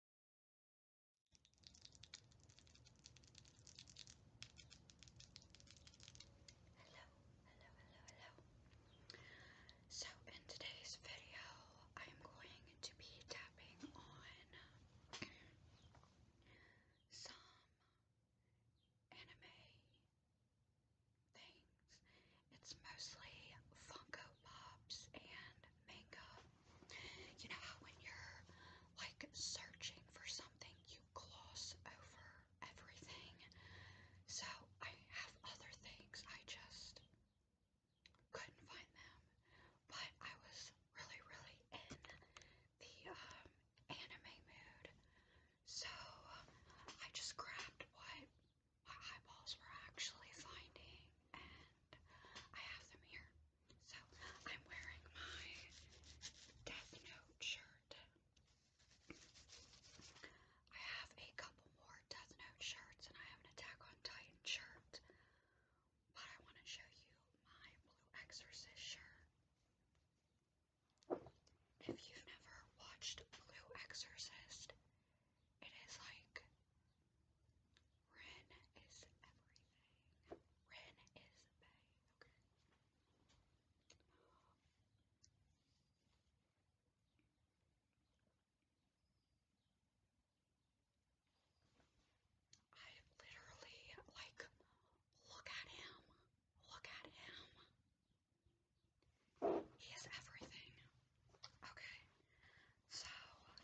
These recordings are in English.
Hello, hello, hello, hello. So, in today's video, I'm going to be tapping on some anime things. It's mostly Funko Pops and makeup. You know how when you're like searching for something, you gloss over everything. So I have other things. I just couldn't find them. But I was really, really in the um, anime mood. So I just grabbed what my eyeballs were actually finding and I have them here. So I'm wearing my Death Note shirt. I have a couple more Death Note shirts, and I have an Attack on Titan shirt. But I want to show you my Blue Exorcist shirt. If you've never watched Blue Exorcist, it is like Ren is everything. Ren is Bay. Okay. I literally like look at him. Look at him. He is everything. Okay, so yeah, I love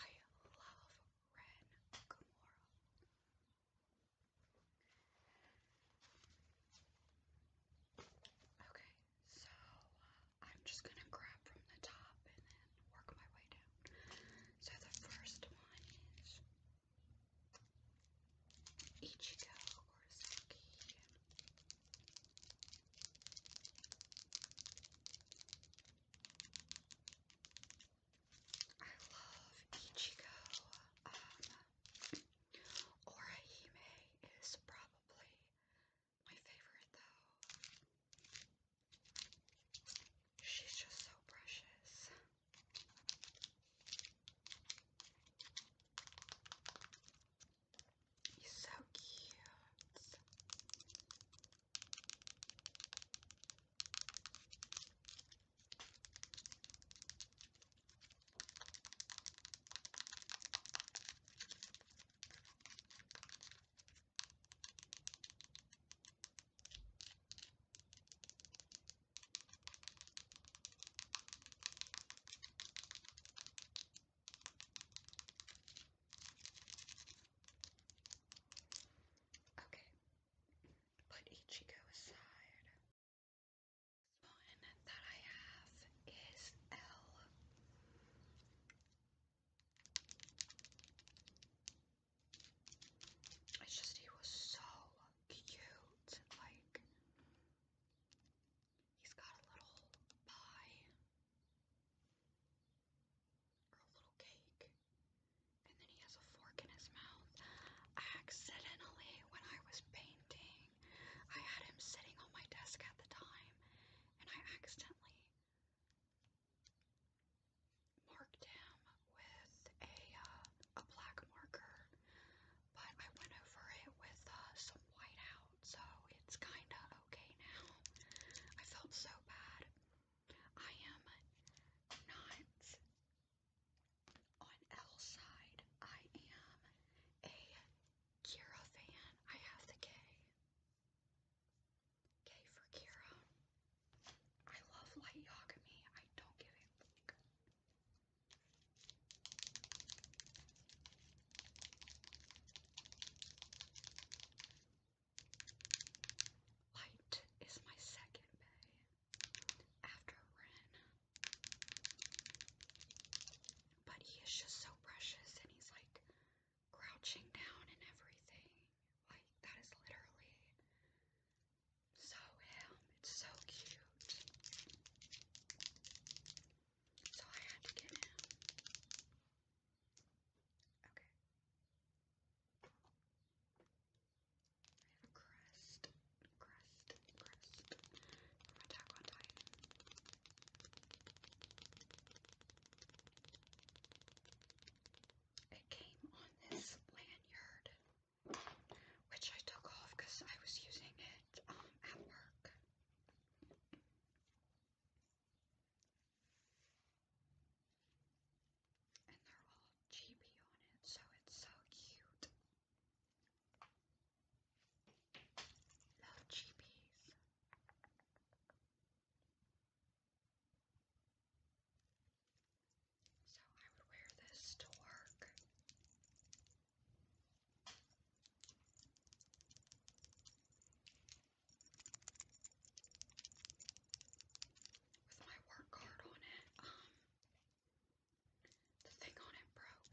Ren Gamora. Okay, so uh, I'm just gonna grab from the top and then work my way down. So the first one is Ichigo or Saki. I love Ichigo. Um, Orihime is probably my favorite, though. She's just so precious. He's so cute. Okay, put Ichigo aside. This one that I have is L. It's just he was so cute. Like, he's got a little pie or a little cake. And then he has a fork in his mouth. Accidentally, when I was painting, I had him sitting on my desk at the time, and I accidentally marked him with a uh, a black marker. But I went over it with uh, some white out so it's kinda okay now. I felt so bad. I am not on L side. I am a Kira fan. I have the K. K for Kira. I love Light Yagami. I don't give it. Light is my second bay after Ren. But he is just so precious and he's like crouching down and everything. Like, that is literally so him. It's so cute. So I had to get him. Okay. I have a crest, crest, crest from Attack on Titan. It came on this lanyard, which I took off because I was using it um, at work. And they're all chibi on it, so it's so cute. Love chibis. So I would wear this to work with my work card on it, um, the thing on it broke.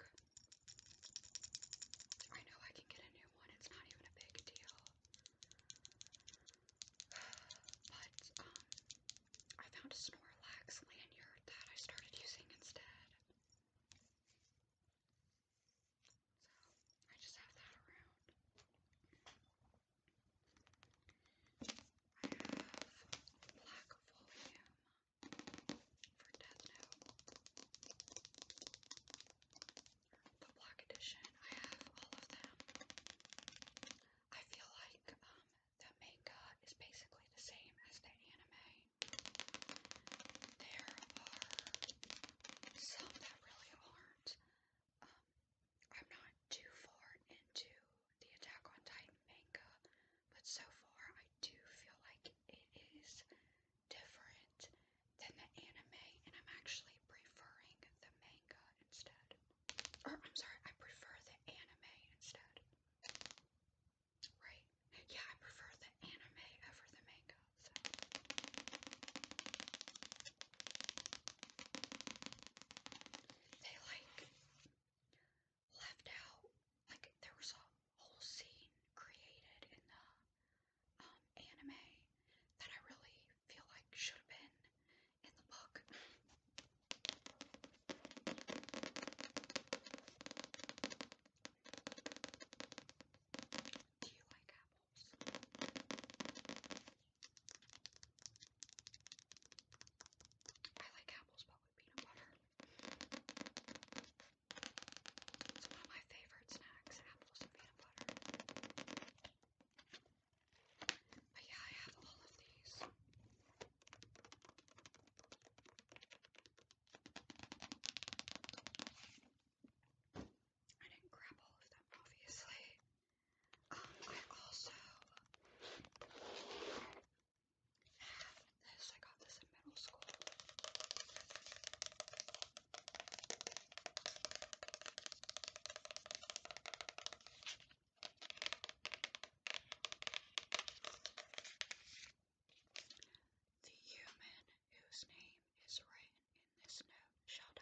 I know I can get a new one, it's not even a big deal. But, um, I found a Snorlax lanyard that I started using instead. So I just have that around. I have black volume for Death Note. The black edition. I have all of them. I feel like um the manga is basically the same as the anime. There are some that really aren't. Um, I'm not too far into the Attack on Titan manga, but so far I do feel like it is different than the anime, and I'm actually preferring the manga instead. Or, I'm sorry, I prefer the anime instead. Right? Yeah, I prefer the anime over the manga go. So. They like left out like there was a whole scene created in the um, anime that I really feel like should have been in the book. Do you like apples? I like apples, but with peanut butter. It's one of my favorite snacks, apples and peanut butter. But yeah, I have all of these. I didn't grab all of them, obviously. Um, I also have this. I got this in middle school. The human whose name is written in this note shall die.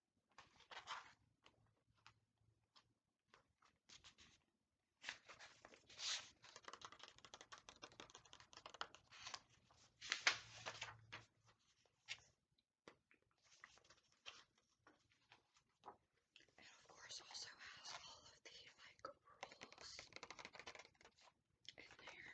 And of course, also has all of the like rules in there.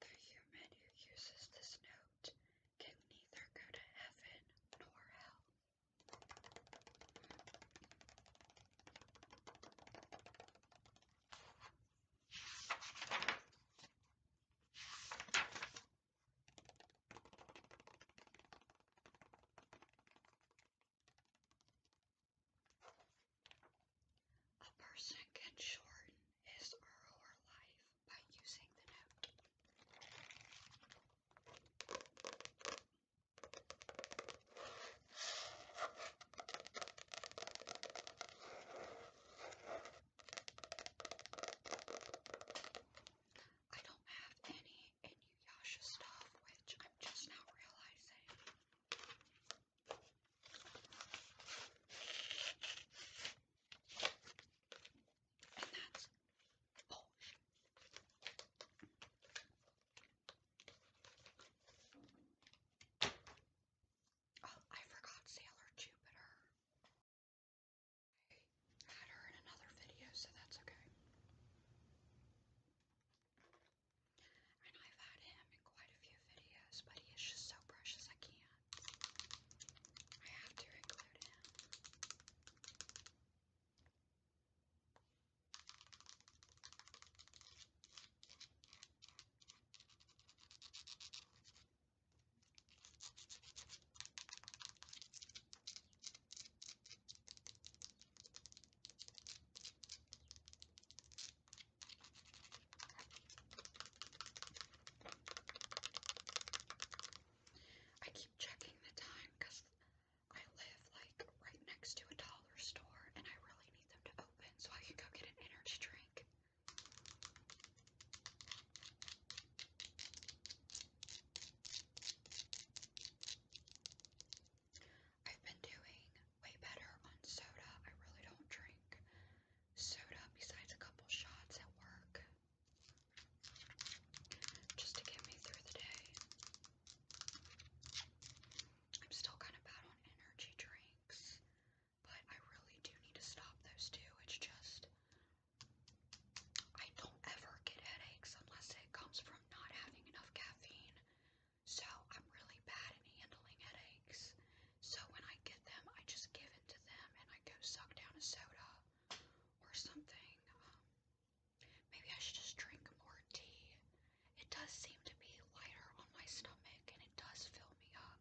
The human who uses this note can neither go to heaven nor hell. A person can shorten his or her life by using the note. I don't have any Inuyasha stuff, which I'm just now realizing. Oh, I forgot Sailor Jupiter. I had her in another video, so that's okay. And I've had him in quite a few videos, but he is just so precious I can't. I have to include him. I keep checking the time because I live like right next to a dollar store and I really need them to open so I can go get an energy drink. I've been doing way better on soda. I really don't drink soda besides a couple shots at work just to get me through the day. I'm still kind of bad on energy drinks, but I really do need to stop those two. It's just I don't ever get headaches unless it comes from not having enough caffeine. So I'm really bad at handling headaches. So when I get them, I just give it to them and I go suck down a soda or something. Um, maybe I should just drink more tea. It does seem to be lighter on my stomach and it does fill me up.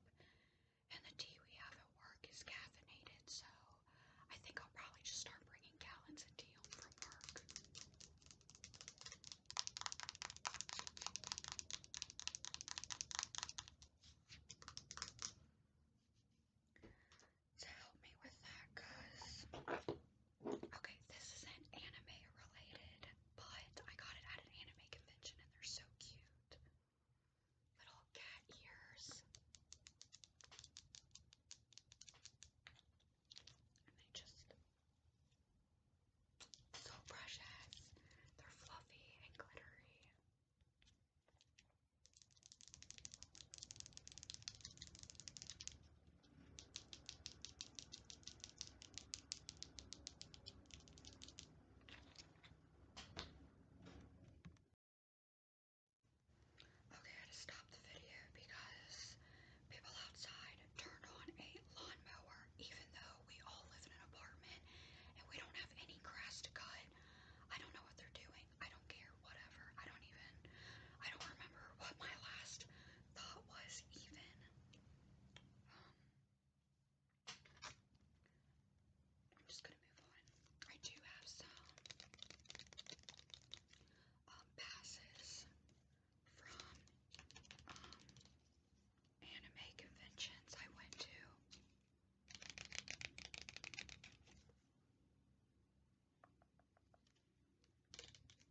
And the tea we have at work is caffeinated, so I think I'll probably just start bringing gallons of tea home from work to help me with that because okay this is an anime related but I got it at an anime convention and they're so cute little cat ears and they just so precious. They're fluffy and glittery. Okay, I had to stop the video because people outside turn on a lawnmower, even though we all live in an apartment and we don't have any grass to cut. I don't know what they're doing. I don't care. Whatever. I don't even. I don't remember what my last thought was, even. Um, I'm just gonna move on. I do have some um, passes from um, anime conventions I went to.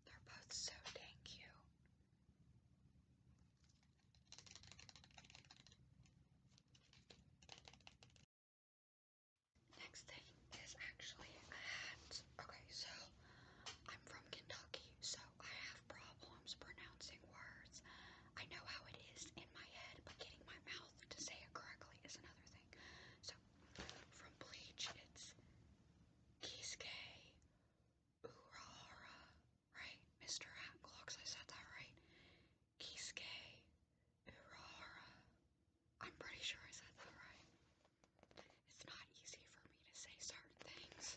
They're both so dang cute. Next thing is actually a hat. Okay, so I'm from Kentucky, so I have problems pronouncing words. I know how it is in my head, but getting my mouth to say it correctly is another thing. So from bleach, it's Kiske Urahara, right? Mr. Hat I said that right. Kiske Urahara. I'm pretty sure I said that right. It's not easy for me to say certain things,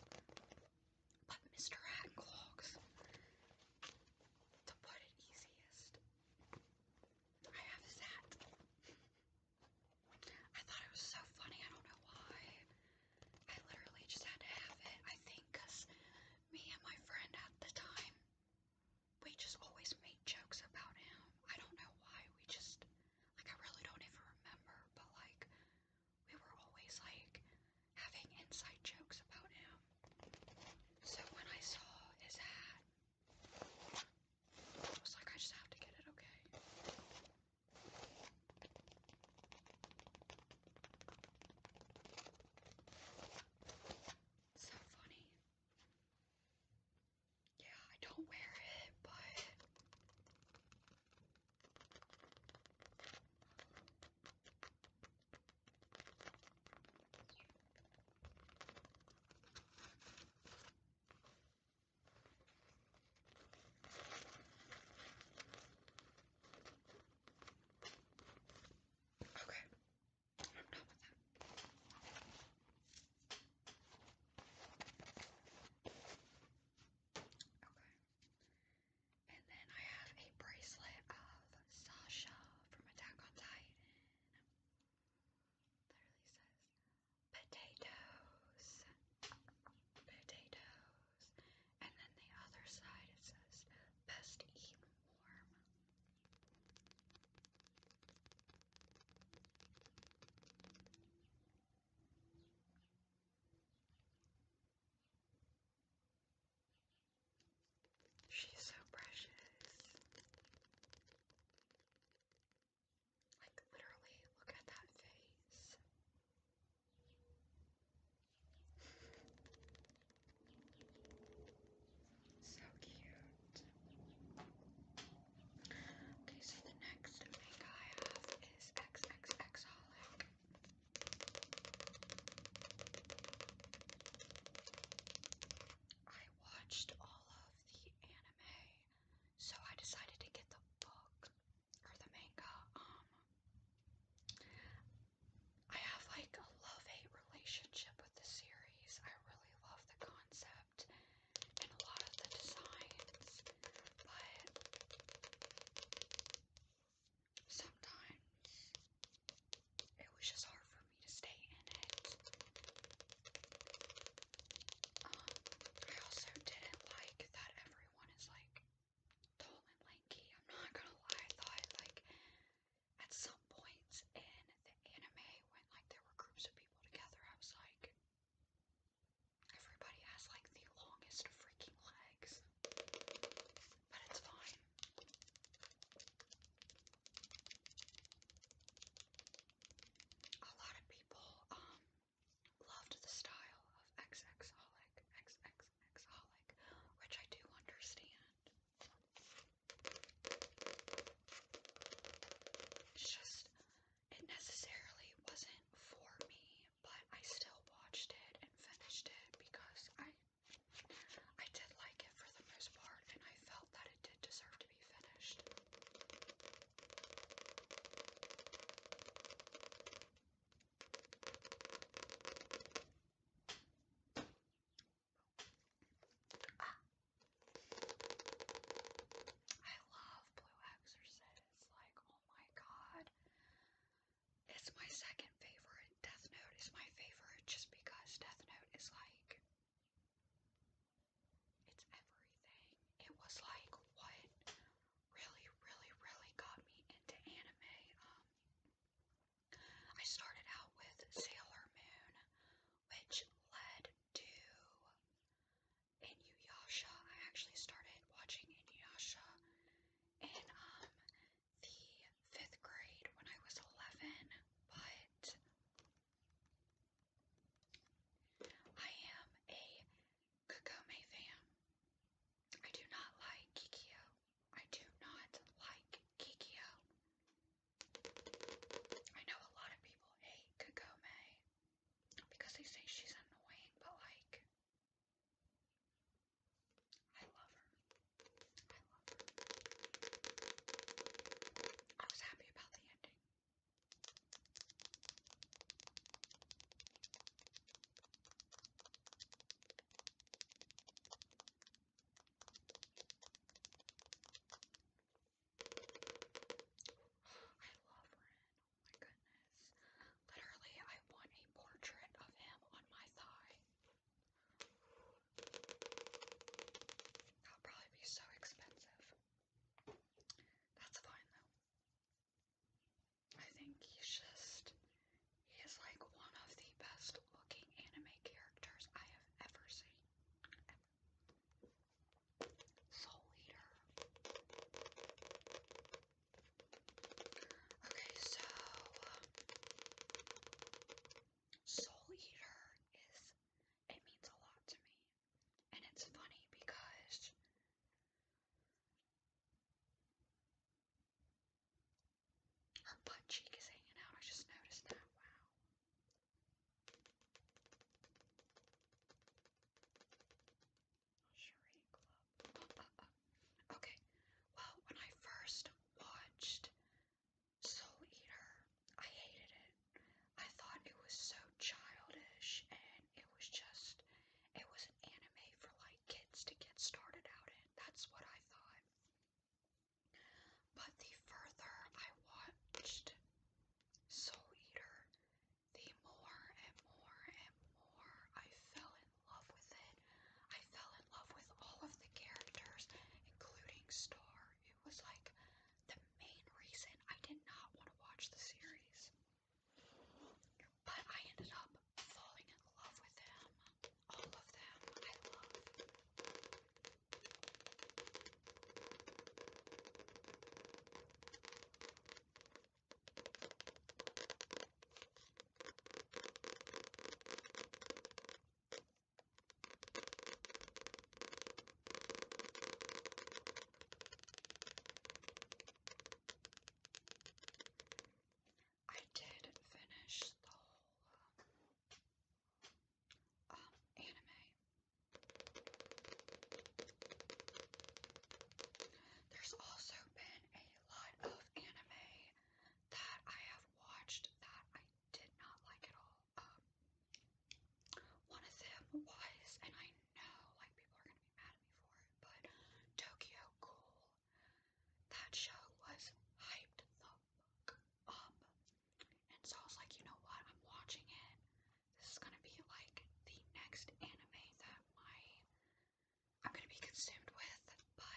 but Mr. Hacklogs, to put it easiest, I have that. I thought it was so funny, I don't know why. I literally just had to have it, I think, me and my friend at the time, we just always made jokes about him. I don't know why, we just like, I really don't even remember, but like, we were always like having inside jokes about him. So when I saw his hat, I was like, I just have to get it, okay? So funny. Yeah, I don't wear it, but Okay. I'm done with that. Okay. And then I have a bracelet of Sasha from Attack on Titan. Literally says potatoes, potatoes. And then the other side it says best eat warm. She's so precious. Like, literally, look at that face. so cute. Okay, so the next makeup I have is XXXHolic. I watched all of the anime, so I decided to get the book or the manga. Um, I have like a love hate relationship with the series. I really love the concept concept and a lot of the designs, but sometimes it was just hard for me to stay in it. Um, I also didn't like that everyone is like tall and lanky. I'm not gonna lie, I thought like at some points in the anime when like there were groups of people together, I was like, Everybody has like the longest freaking legs. But it's fine. A lot of people um loved the style of XXholic, XXXholic, which I do understand. It's just it necessarily wasn't for me, but I still watched it and finished it because I I did like it for the most part and I felt that it did deserve to be finished. Ah, I love Blue Exorcist. Like, oh my god. It's my second favorite. Death Note is my favorite just because Death Note is like. It's everything. It was like what really, really, really got me into anime. Um, I started out with Sailor Moon, which led to Inuyasha. I actually started watching Inuyasha in um the fifth grade when I was eleven, but I am a Kagome fan. I do not like Kikyo. I do not like Kikyo. I know a lot of people hate Kagome because they say she's annoying, but like, I love her. I love her. I was happy about the ending. I love Ren. Oh my goodness. Literally, I want a portrait of him on my thigh. That'll probably be so expensive. That's fine though. I think he's just. He like one of the best looking anime characters I have ever seen. Soul Eater. Okay, so um, Soul Eater is it means a lot to me. And it's funny because her butt cheek is hanging out. I just noticed that. Wow. Uh, uh, uh. Okay. Well, when I first watched Soul Eater, I hated it. I thought it was so childish and it was just it was an anime for like kids to get started out in. That's what I thought. But the further I watched Soul Eater, the more and more and more I fell in love with it, I fell in love with all of the characters, including Star. It was like the main reason I did not want to watch the series. But I ended up falling in love with them. All of them I love. I did finish the whole um, um anime there's also been a lot of anime that I have watched that I did not like at all. Um, one of them was, and I know like people are gonna be mad at me for it, but Tokyo Ghoul. That show was hyped the fuck up. And so I was like, you know what? I'm watching it. This is gonna be like the next anime that my I'm gonna be consumed with, but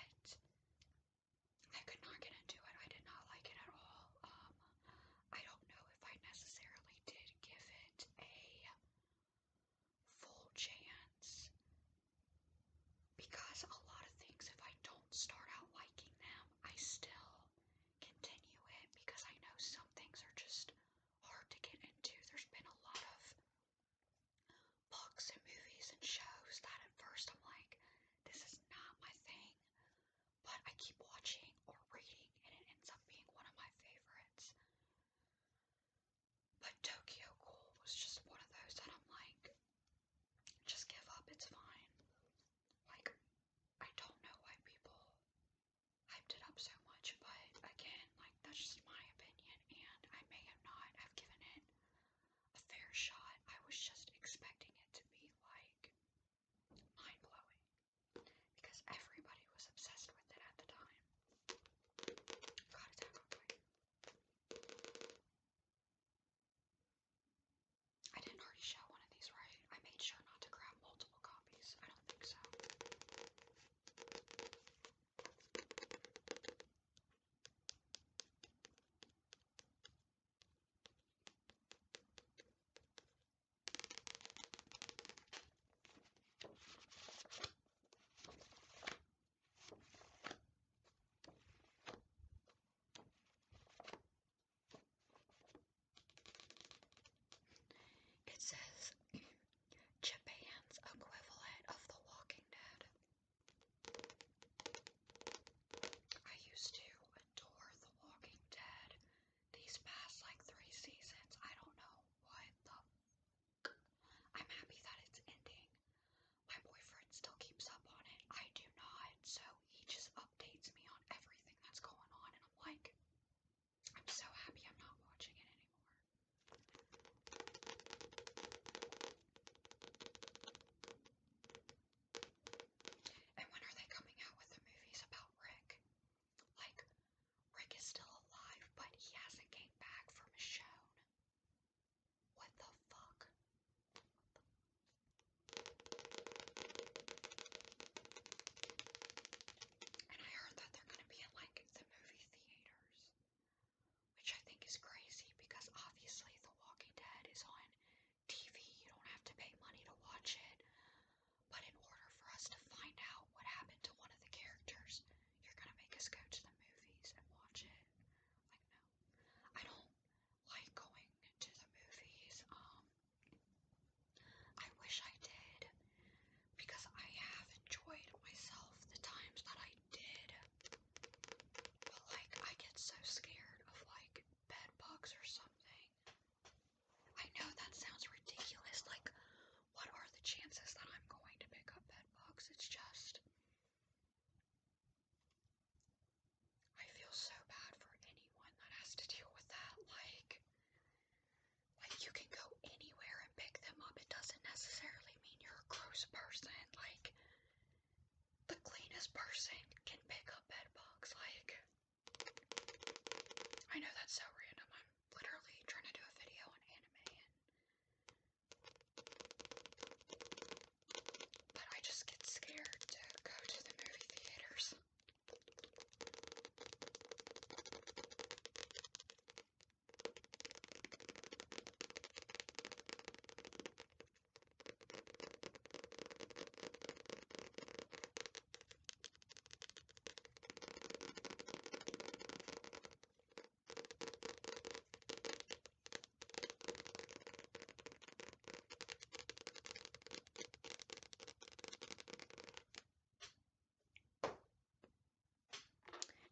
I could not get into it. I did not like it at all. Um, I don't know if I necessarily did give it a full chance because a lot of things, if I don't start out liking them, I still continue it because I know some things are just hard to get into. There's been a lot of books and movies and shows that at first I'm like, this is not my thing, but I keep watching or reading and it ends up being one of my favorites. But Tokyo Ghoul was just one of those that I'm like, just give up, it's fine. Like, I don't know why people hyped it up so much, but again, like that's just my opinion, and I may have not have given it a fair shot. I was just expecting it to be like mind blowing because everybody was obsessed with it at the time. Got attack real quick. I didn't already show one of these, right? I made sure not to grab multiple copies. I don't think so. It says Japan's equivalent of The Walking Dead. I used to adore The Walking Dead these past like three seasons. I don't know what the. i I'm happy that it's ending. My boyfriend still keeps up on it. I do not, so he just updates me on everything that's going on, and I'm like, I'm so happy I'm not watching it anymore. And when are they coming out with the movies about Rick? Like, Rick is still alive, but he hasn't came back from Michonne. What the fuck? And I heard that they're going to be at like the movie theaters, which I think is crazy because obviously The Walking Dead is on TV. You don't have to pay money to watch it. But in order for us to find out what happened to one of the characters, you're going to make us go to the movies and watch it. Like, no. I don't like going to the movies. Um, I wish I did because I have enjoyed myself the times that I did. But like I get so scared of like bed bugs or something. I know that sounds ridiculous. Like what are the chances that I'm going to pick up bed bugs? It's just I feel so bad for anyone that has to deal with that. Like, like you can go anywhere and pick them up. It doesn't necessarily mean you're a gross person. Like, the cleanest person can pick up bed bugs. Like, I know that's so random. I'm literally trying to do a video on anime and but I just get scared to go to the movie theaters.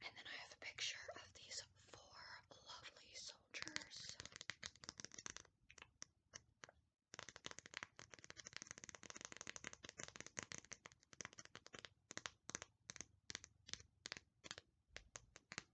And then I have a picture of these four lovely soldiers.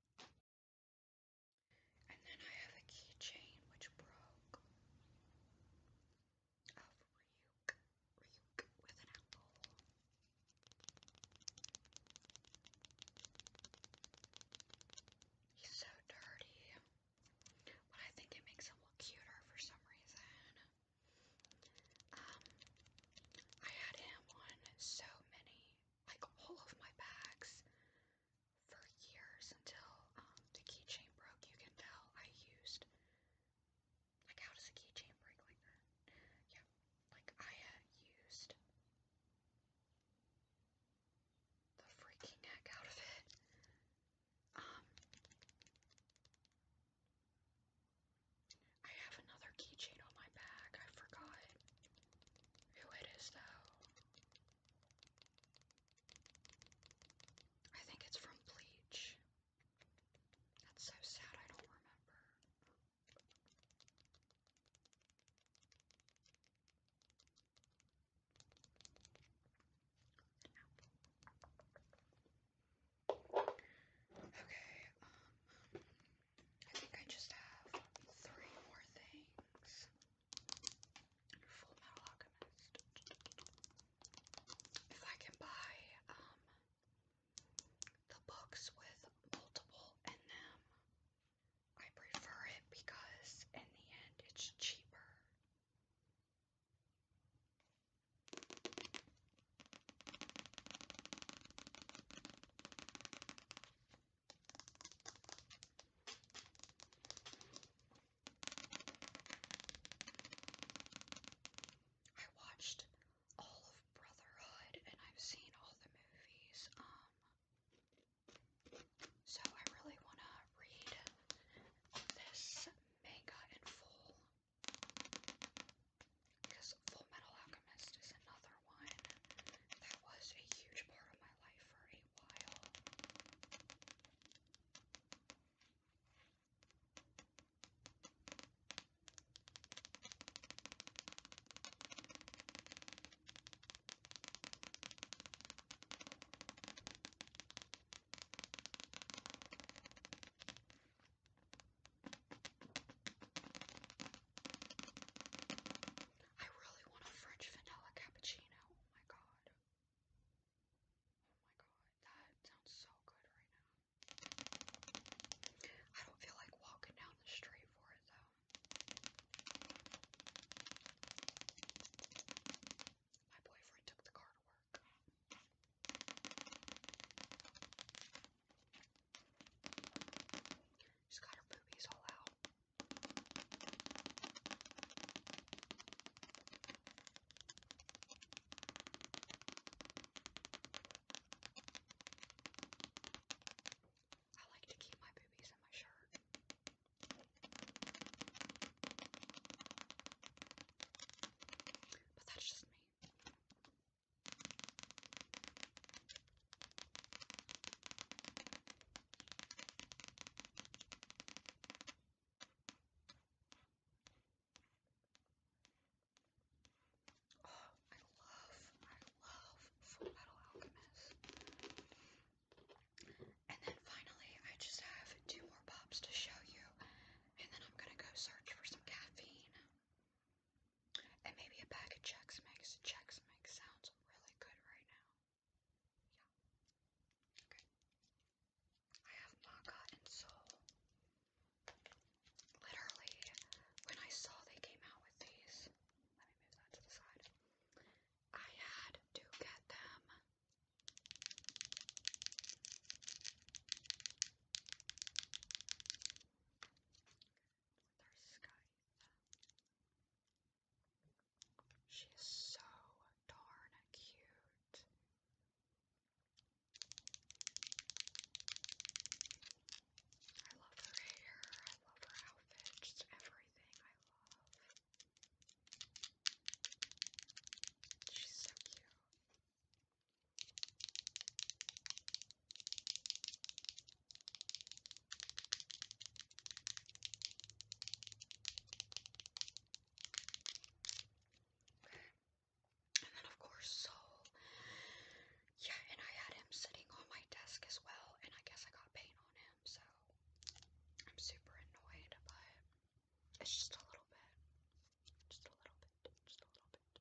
And then I have a keychain which broke of Ryuk, Ryuk with an apple. He's so dirty, but I think it makes him look cuter for some reason. Um, I had him on so many like all of my bags for years until um, the keychain broke. You can tell I used like how does a keychain break like that? Yeah, like I used the freaking heck out of it. Um, I have another keychain on my back. I forgot who it is, though. I think it's from Bleach. That's so sad, I don't remember. Okay, um, I think I just have three more things. Full Metal Alchemist. If I can buy um the books with multiple in them, I prefer it because in the end it's cheaper. I watched all of Brotherhood and I've seen all the movies. Um so I really want to read this manga in full. Because Full Metal Alchemist is another one that was a huge part of my life for a while. I really want a French vanilla cappuccino. Oh my god. Oh my god, that sounds so good right now. I don't feel like walking down the street for it though. My boyfriend took the car to work. She's got her boobies all out. I like to keep my boobies in my shirt. But that's just me. Oh, I love, I love Full Metal Alchemist. And then finally, I just have two more pops to show you, and then I'm gonna go search for some caffeine. And maybe a bag of Chex Mix. Chex Mix sounds really good right now. Yeah. Okay. I have maca and soul. Literally, when I saw they came out with these, let me move that to the side. I had to get them. Thurskythe. She is so darn cute. I love her hair, I love her outfit, just everything I love. She's so cute. And then, of course, Soul. Yeah, and I had him sitting on my desk as well, and I guess I got paint on him, so I'm super annoyed, but it's just a little bit. Just a little bit. Just a little bit.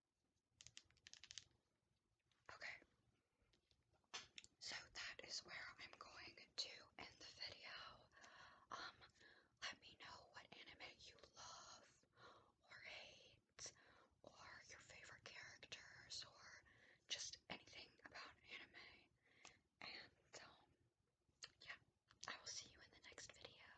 Okay. So that is where I'm going to end the video. Um, let me know what anime you love or hate or your favorite characters or just anything about anime. And um, yeah, I will see you in the next video.